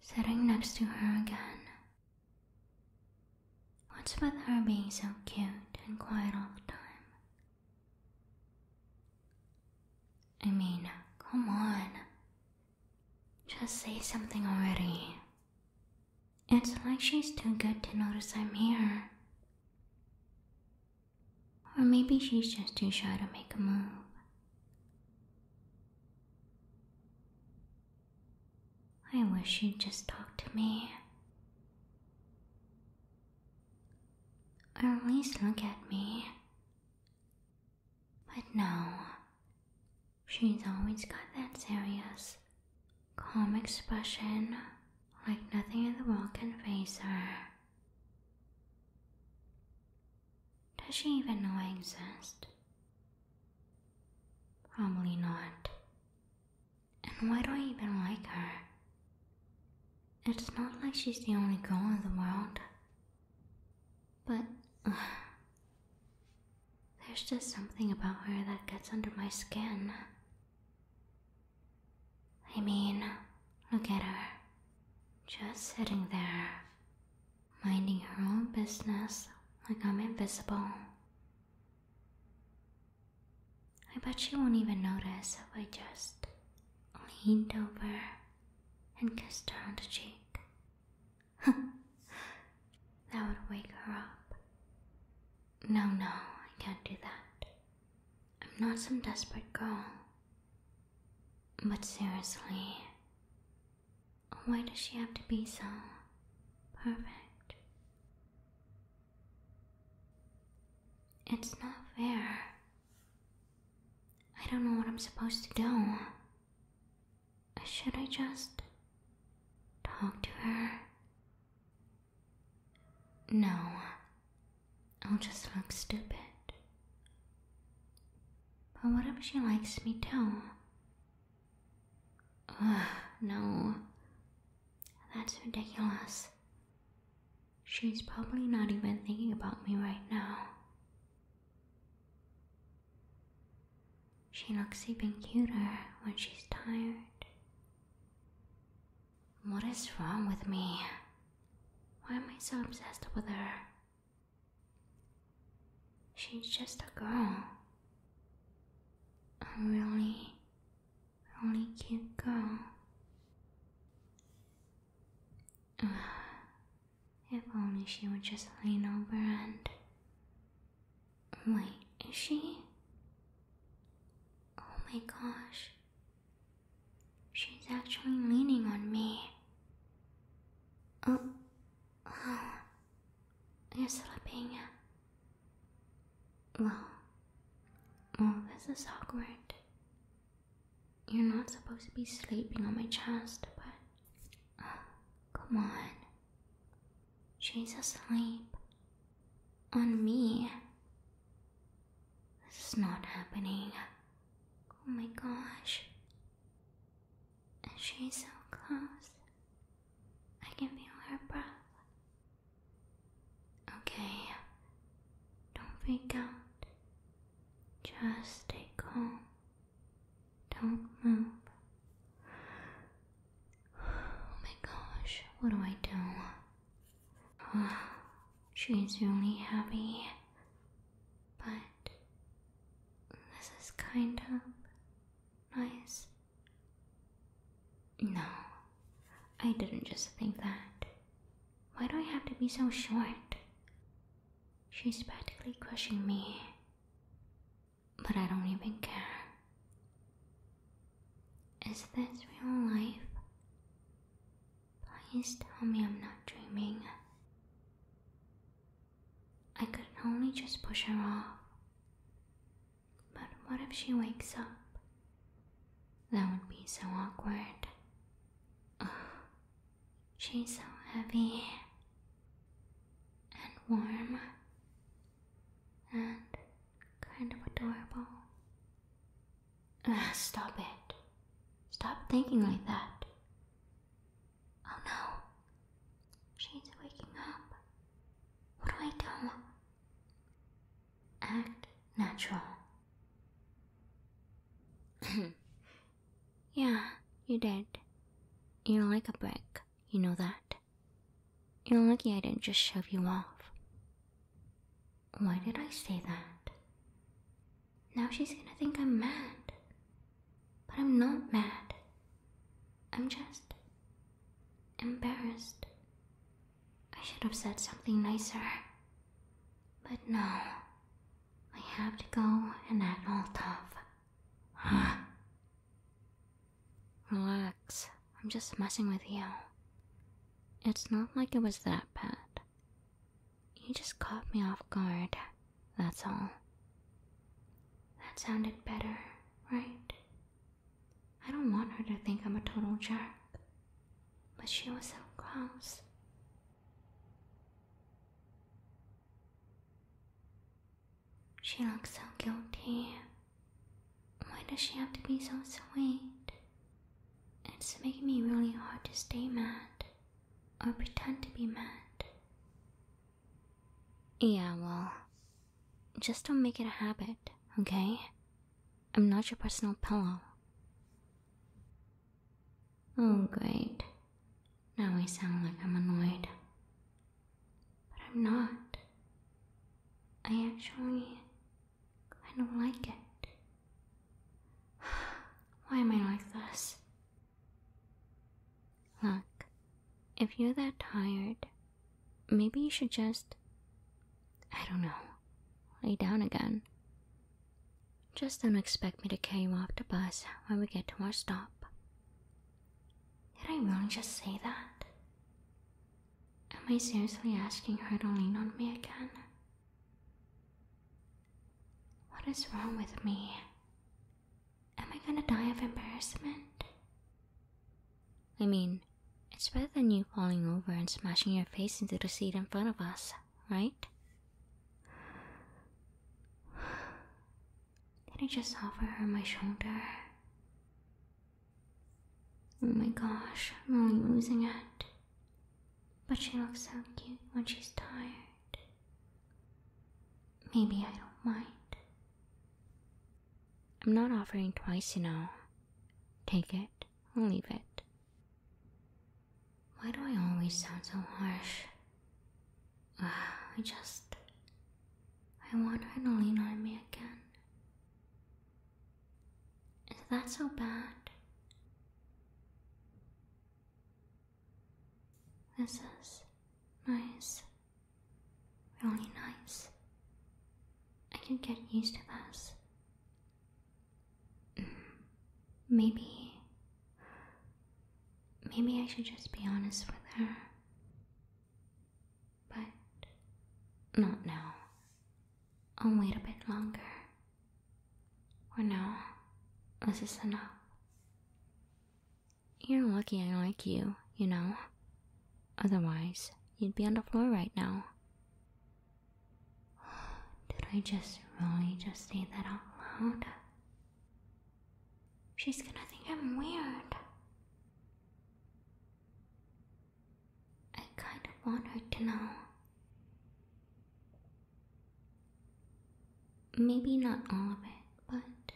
Sitting next to her again. What's with her being so cute and quiet all the time? I mean, come on. Just say something already. It's like she's too good to notice I'm here. Or maybe she's just too shy to make a move. I wish she'd just talk to me. Or at least look at me. But no, she's always got that serious, calm expression like nothing in the world can face her. Does she even know I exist? Probably not. And why do I even like her? It's not like she's the only girl in the world. But there's just something about her that gets under my skin. I mean, look at her. Just sitting there, minding her own business like I'm invisible. I bet she won't even notice if I just leaned over and kissed her on the cheek. that would wake her up. No, no, I can't do that. I'm not some desperate girl. But seriously, why does she have to be so perfect? It's not fair. I don't know what I'm supposed to do. Should I just talk to her? No, I'll just look stupid. But what if she likes me too? Ugh, no. That's ridiculous. She's probably not even thinking about me right now. She looks even cuter when she's tired. What is wrong with me? Why am I so obsessed with her? She's just a girl. A really, really cute girl. if only she would just lean over and. Wait, is she? Oh my gosh. She's actually leaning on me. Oh, oh. You're slipping. Well, well, this is awkward. You're not supposed to be sleeping on my chest, but. Oh, come on. She's asleep. On me. This is not happening. Oh my gosh. And She's so close. I can feel her breath. Okay. Don't freak out. Just stay calm. Don't move. Oh my gosh, what do I do? She's really happy, but this is kind of nice. No, I didn't just think that. Why do I have to be so short? She's practically crushing me, but I don't even care. Is this real life? Please tell me I'm not dreaming. I could only just push her off. But what if she wakes up? That would be so awkward. She's so heavy and warm and kind of adorable. Uh, stop it. Stop thinking like that. Oh no. She's waking up. What do I do? Act natural. yeah, you did. You're like a brick, you know that. You're lucky I didn't just shove you off. Why did I say that? Now she's gonna think I'm mad. But I'm not mad. I'm just embarrassed. I should have said something nicer. But no, I have to go and act all tough. Relax, I'm just messing with you. It's not like it was that bad. You just caught me off guard, that's all. That sounded better, right? I don't want her to think I'm a total jerk, but she was so close. She looked so guilty. Why does she have to be so sweet? It's making me really hard to stay mad or pretend to be mad. Yeah, well, just don't make it a habit, okay? I'm not your personal pillow. Oh, great. Now I sound like I'm annoyed. But I'm not. I actually I don't like it. Why am I like this? Look, if you're that tired, maybe you should just. I don't know. Lay down again. Just don't expect me to carry you off the bus when we get to our stop. Did I really just say that? Am I seriously asking her to lean on me again? What is wrong with me? Am I gonna die of embarrassment? I mean, it's better than you falling over and smashing your face into the seat in front of us, right? Did I just offer her my shoulder? Oh my gosh, I'm really losing it. But she looks so cute when she's tired. Maybe I don't mind. I'm not offering twice, you know. Take it or leave it. Why do I always sound so harsh? I just. I want her to lean on me again. Is that so bad? This is nice. Really nice. I can get used to this. Mm, maybe. Maybe I should just be honest with her but not now. I'll wait a bit longer. Or no, this is enough. You're lucky I like you, you know. Otherwise, you'd be on the floor right now. Did I just really just say that out loud? She's gonna think I'm weird. I kind of want her to know. Maybe not all of it, but.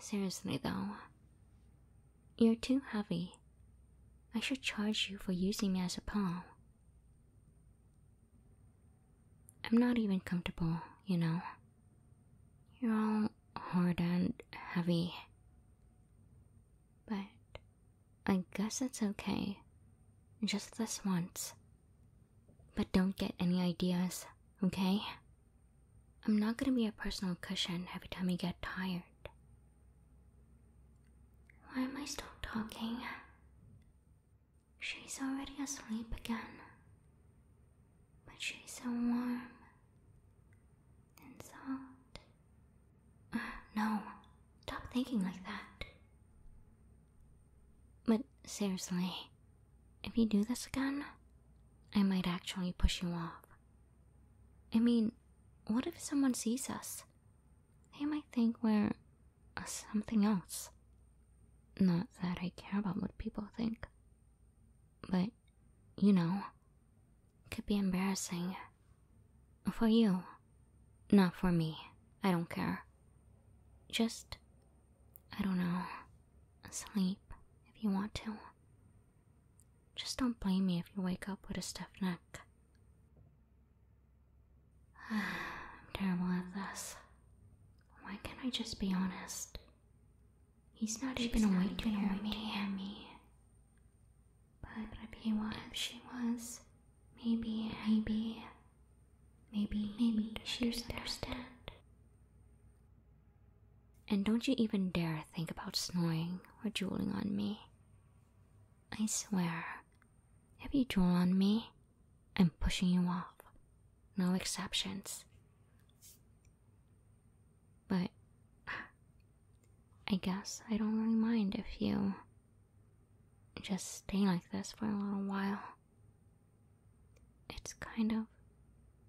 Seriously, though, you're too heavy. I should charge you for using me as a pawn. I'm not even comfortable, you know. You're all hard and heavy. But I guess it's okay. Just this once. But don't get any ideas, okay? I'm not gonna be a personal cushion every time you get tired. Why am I still talking? She's already asleep again. But she's so warm and uh, no, stop thinking like that. But seriously, if you do this again, I might actually push you off. I mean, what if someone sees us? They might think we're uh, something else. Not that I care about what people think, but you know, could be embarrassing. For you. Not for me. I don't care. Just, I don't know, sleep if you want to. Just don't blame me if you wake up with a stiff neck. I'm terrible at this. Why can't I just be honest? He's not even awake to hear me. Hear me. But if he was, she was, maybe, maybe, maybe, maybe she doesn't understand. And don't you even dare think about snoring or drooling on me. I swear, if you drool on me, I'm pushing you off. No exceptions. But I guess I don't really mind if you just stay like this for a little while. It's kind of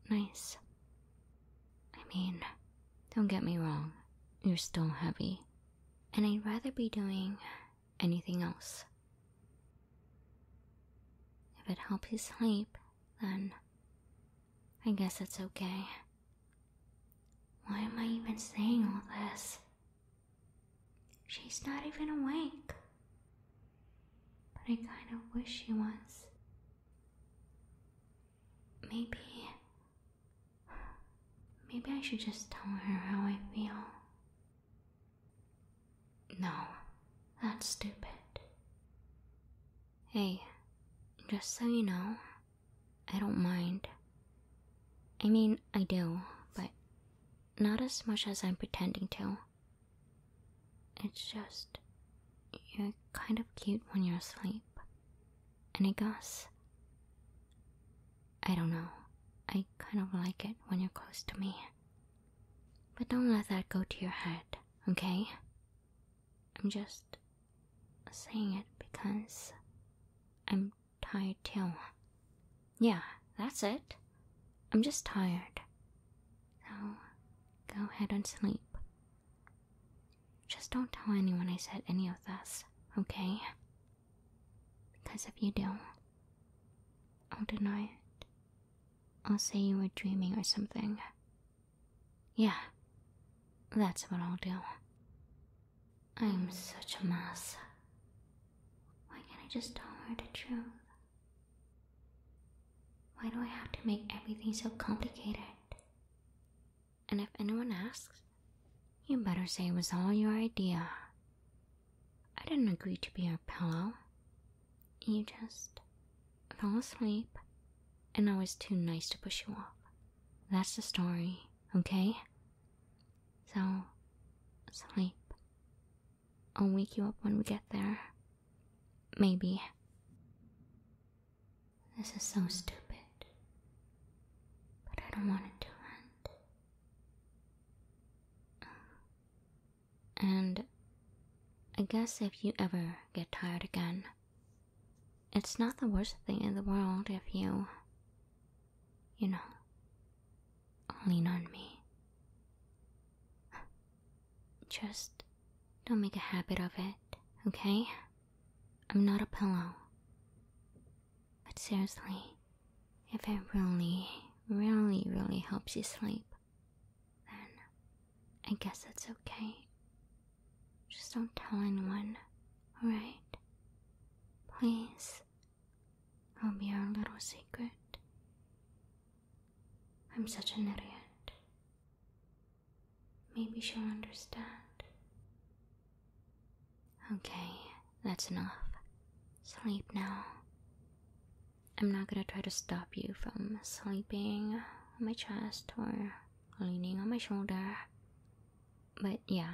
nice. I mean, don't get me wrong, you're still heavy, and I'd rather be doing anything else. If it helps you sleep, then I guess it's okay. Why am I even saying all this? She's not even awake. But I kind of wish she was. Maybe. Maybe I should just tell her how I feel. No, that's stupid. Hey, just so you know, I don't mind. I mean, I do, but not as much as I'm pretending to. It's just, you're kind of cute when you're asleep. And I guess, I don't know, I kind of like it when you're close to me. But don't let that go to your head, okay? I'm just saying it because I'm tired too. Yeah, that's it. I'm just tired. So go ahead and sleep. Just don't tell anyone I said any of this, okay? Because if you do, I'll deny it. I'll say you were dreaming or something. Yeah, that's what I'll do. I'm such a mess. Why can't I just tell her the truth? Why do I have to make everything so complicated? And if anyone asks, you better say it was all your idea. I didn't agree to be your pillow. You just fell asleep, and I was too nice to push you off. That's the story, okay? So, sleep. I'll wake you up when we get there. Maybe. This is so stupid. But I don't want to do and I guess if you ever get tired again, it's not the worst thing in the world if you, you know, lean on me. Just don't make a habit of it, okay? I'm not a pillow. But seriously, if it really, really, really helps you sleep, then I guess it's okay. Just don't tell anyone, right? Please. I'll be our little secret. I'm such an idiot. Maybe she'll understand. Okay, that's enough. Sleep now. I'm not gonna try to stop you from sleeping on my chest or leaning on my shoulder. But yeah,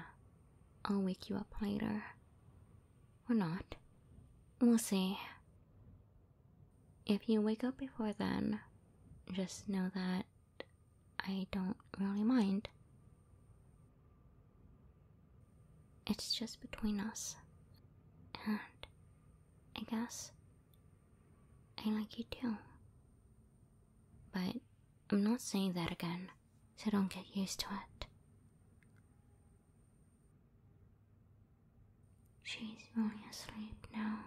I'll wake you up later. Or not. We'll see. If you wake up before then, just know that I don't really mind. It's just between us. And I guess I like you too. But I'm not saying that again, so don't get used to it. She's really asleep now.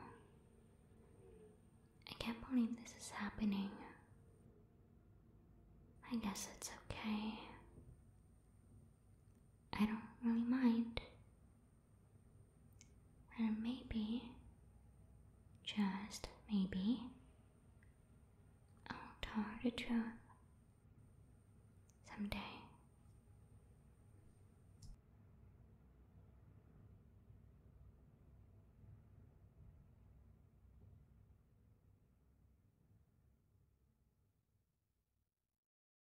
I can't believe this is happening. I guess it's okay. I don't really mind. And maybe, just maybe, I'll tell the truth someday.